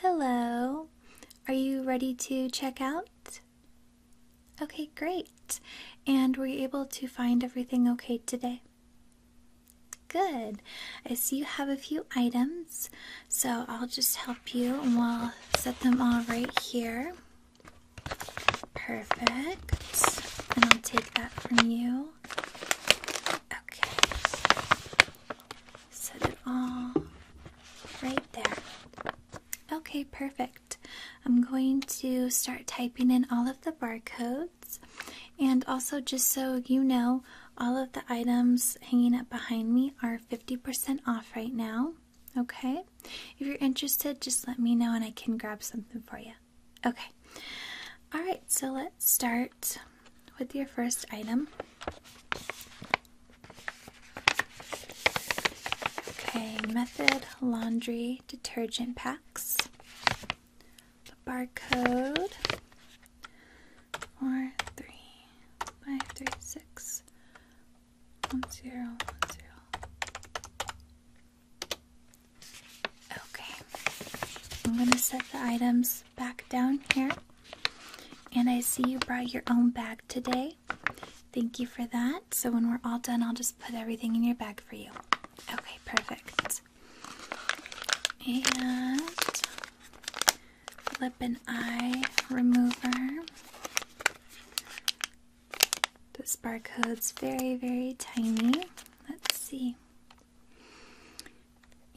Hello. Are you ready to check out? Okay, great. And were you able to find everything okay today? Good. I see you have a few items, so I'll just help you and we'll set them all right here. Perfect. And I'll take that from you. Okay set it all right there. Okay, perfect. I'm going to start typing in all of the barcodes, and also, just so you know, all of the items hanging up behind me are 50% off right now. Okay, if you're interested, just let me know and I can grab something for you. Okay, all right, so let's start with your first item. Okay, Method Laundry Detergent Packs. The barcode. Four, three, five, three, six, one, zero, one, zero. Okay. I'm gonna set the items back down here. And I see you brought your own bag today. Thank you for that. So when we're all done, I'll just put everything in your bag for you. Okay, perfect. And lip and eye remover. The barcode's very, very tiny. Let's see.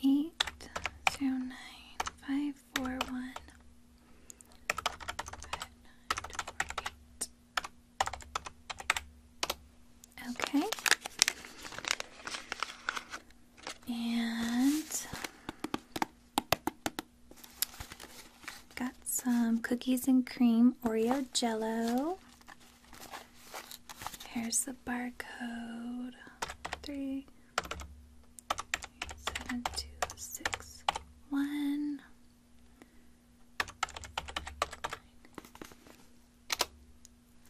Eight, zero, nine, five, five, four, one. Okay. And got some cookies and cream Oreo jello. Here's the barcode. Three, Seven, two, six, one.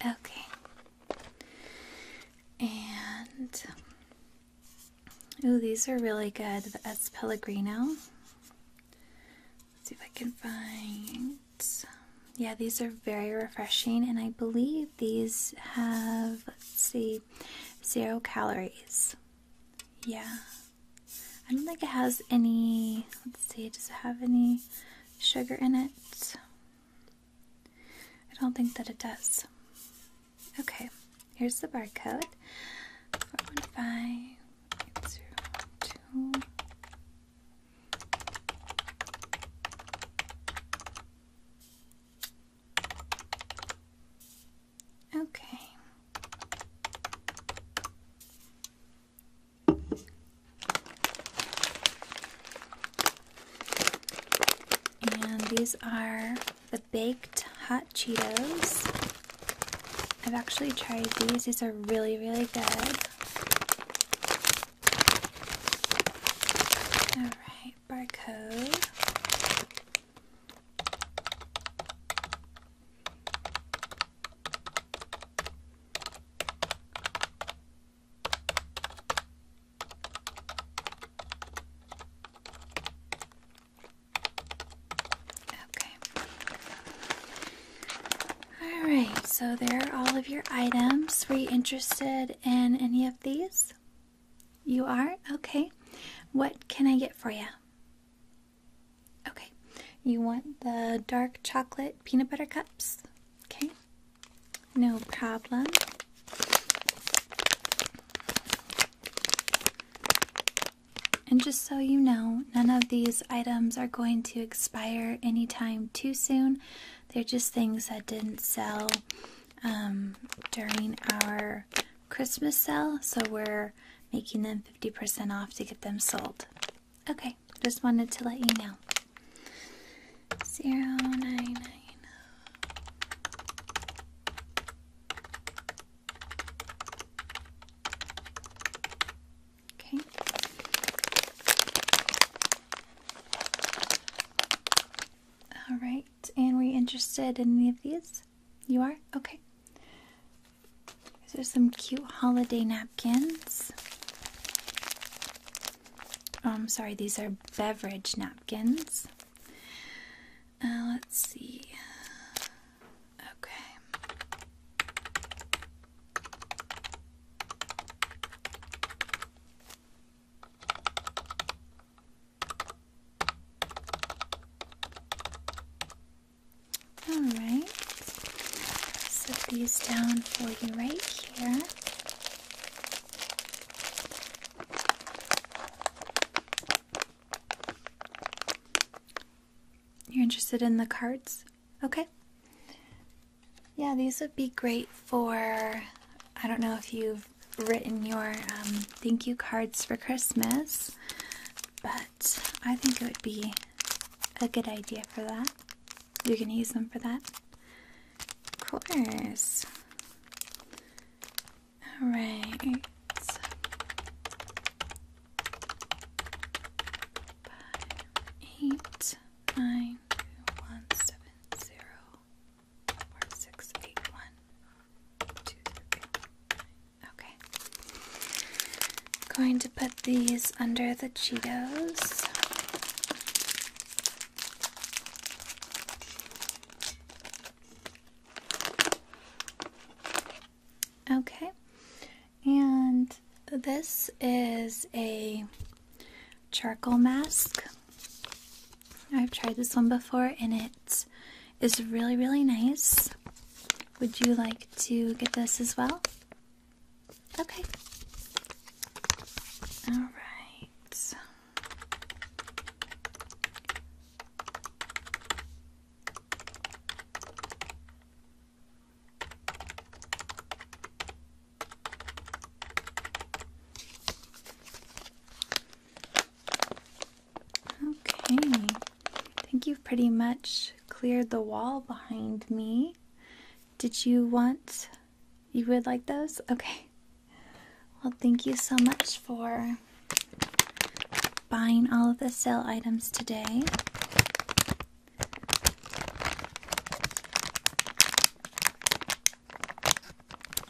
Okay. And oh, these are really good. The S Pellegrino. Let's see if I can find. Yeah, these are very refreshing, and I believe these have see, zero calories. Yeah. I don't think it has any. Let's see, does it have any sugar in it? I don't think that it does. Okay, here's the barcode Okay. And these are the baked hot Cheetos. I've actually tried these, these are really, really good. Alright barcode. Okay. All right, so there are all of your items. Were you interested in any of these? You are? Okay. What can I get for you? Okay. You want the dark chocolate peanut butter cups? Okay. No problem. And just so you know, none of these items are going to expire anytime too soon. They're just things that didn't sell um, during our Christmas sale, so we're making them 50% off to get them sold. Okay, just wanted to let you know. Zero nine nine. Okay. All right, and were you interested in any of these? You are? Okay. These are some cute holiday napkins. I'm um, sorry, these are beverage napkins. Uh, let's see. Okay. Alright, set these down for you right here. You're interested in the cards? Okay. Yeah, these would be great for. I don't know if you've written your um, thank you cards for Christmas, but I think it would be a good idea for that. you can use them for that? Of course. Alright. Five, eight, nine, two, one, seven, zero, four, six, eight, one, two, three. Okay. Going to put these under the Cheetos. Okay. And this is a charcoal mask. I've tried this one before and it is really, really nice. Would you like to get this as well? Okay. All right. Okay, I think you've pretty much cleared the wall behind me. Did you want, you would like those? Okay. Well, thank you so much for buying all of the sale items today.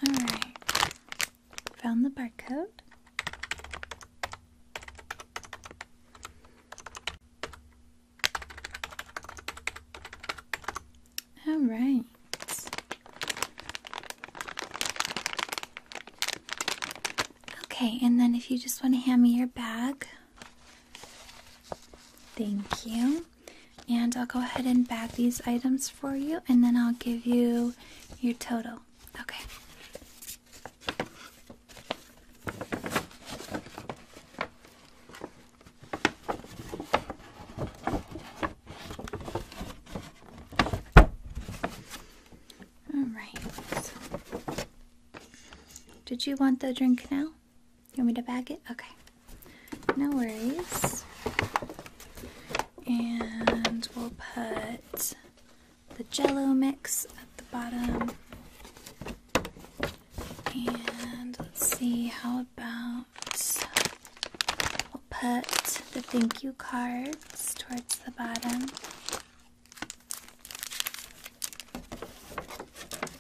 Alright. Found the barcode. Alright. Okay, and then if you just want to hand me your bag. Thank you. And I'll go ahead and bag these items for you, and then I'll give you your total. Okay. All right. Did you want the drink now? You want me to bag it? Okay. No worries. And we'll put the jello mix at the bottom. And let's see, how about we'll put the thank you cards towards the bottom.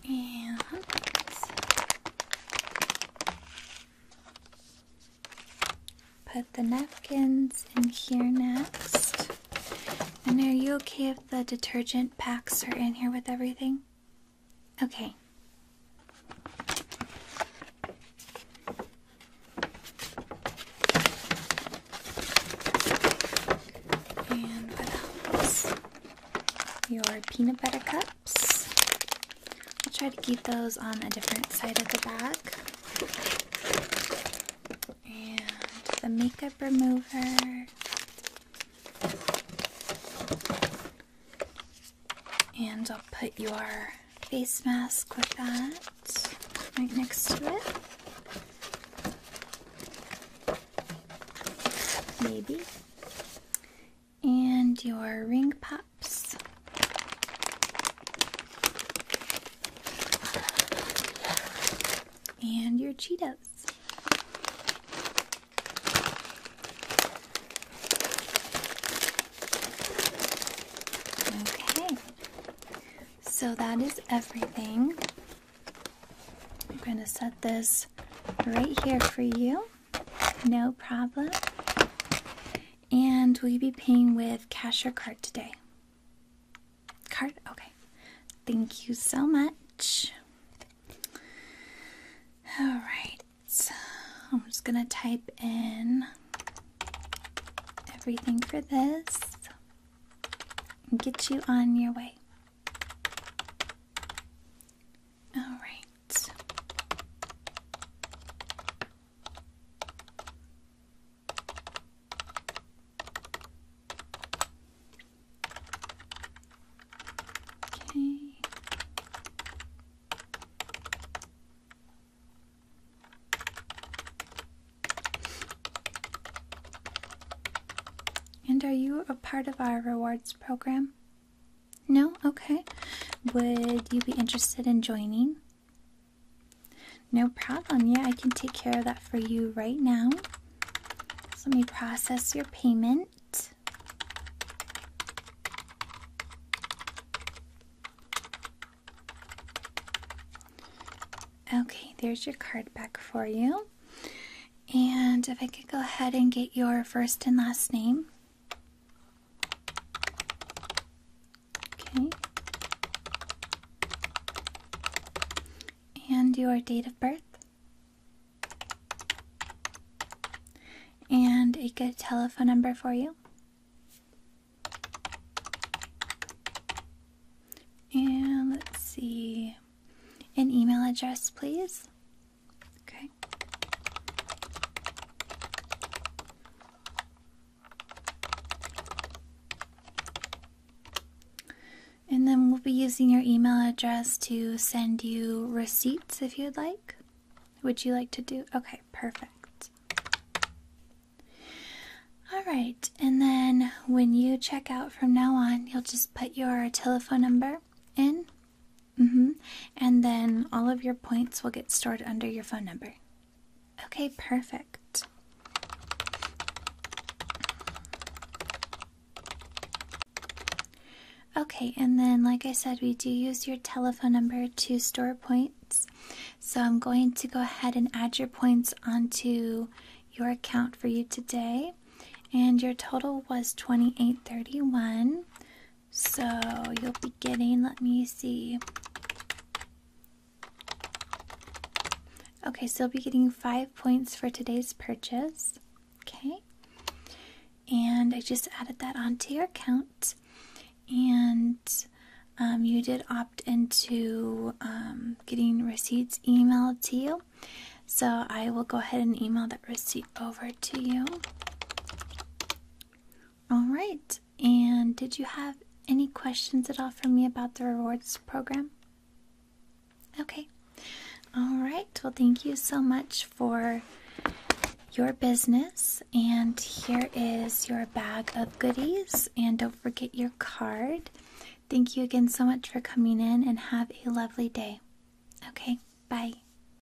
And Put the napkins in here next. And are you okay if the detergent packs are in here with everything? Okay. And what else? Your peanut butter cup. I'll try to keep those on a different side of the bag. And the makeup remover. And I'll put your face mask with that right next to it. Maybe and your ring pops. And your Cheetos. Okay, so that is everything. I'm going to set this right here for you. No problem. And will you be paying with cash or card today? Card? Okay. Thank you so much. All right. So I'm just going to type in everything for this and get you on your way. All right. Okay. And are you a part of our rewards program? No? Okay. Would you be interested in joining? No problem. Yeah, I can take care of that for you right now. let me process your payment. Okay, there's your card back for you. And if I could go ahead and get your first and last name. Okay. And your date of birth. And a good telephone number for you. And let's see, an email address, please. Okay. And then we'll be using your email address to send you receipts if you'd like. Would you like to do? Okay, perfect. All right, and then when you check out from now on, you'll just put your telephone number in Mm hmm. And then all of your points will get stored under your phone number. Okay, perfect. Okay, and then, like I said, we do use your telephone number to store points. So I'm going to go ahead and add your points onto your account for you today. And your total was 2831. So you'll be getting, let me see. Okay, so you'll be getting five points for today's purchase. Okay. And I just added that onto your account. And um, you did opt into um, getting receipts emailed to you. So I will go ahead and email that receipt over to you. All right. And did you have any questions at all for me about the rewards program? Okay. All right. Well, thank you so much for your business. And here is your bag of goodies. And don't forget your card. Thank you again so much for coming in and have a lovely day. Okay. Bye.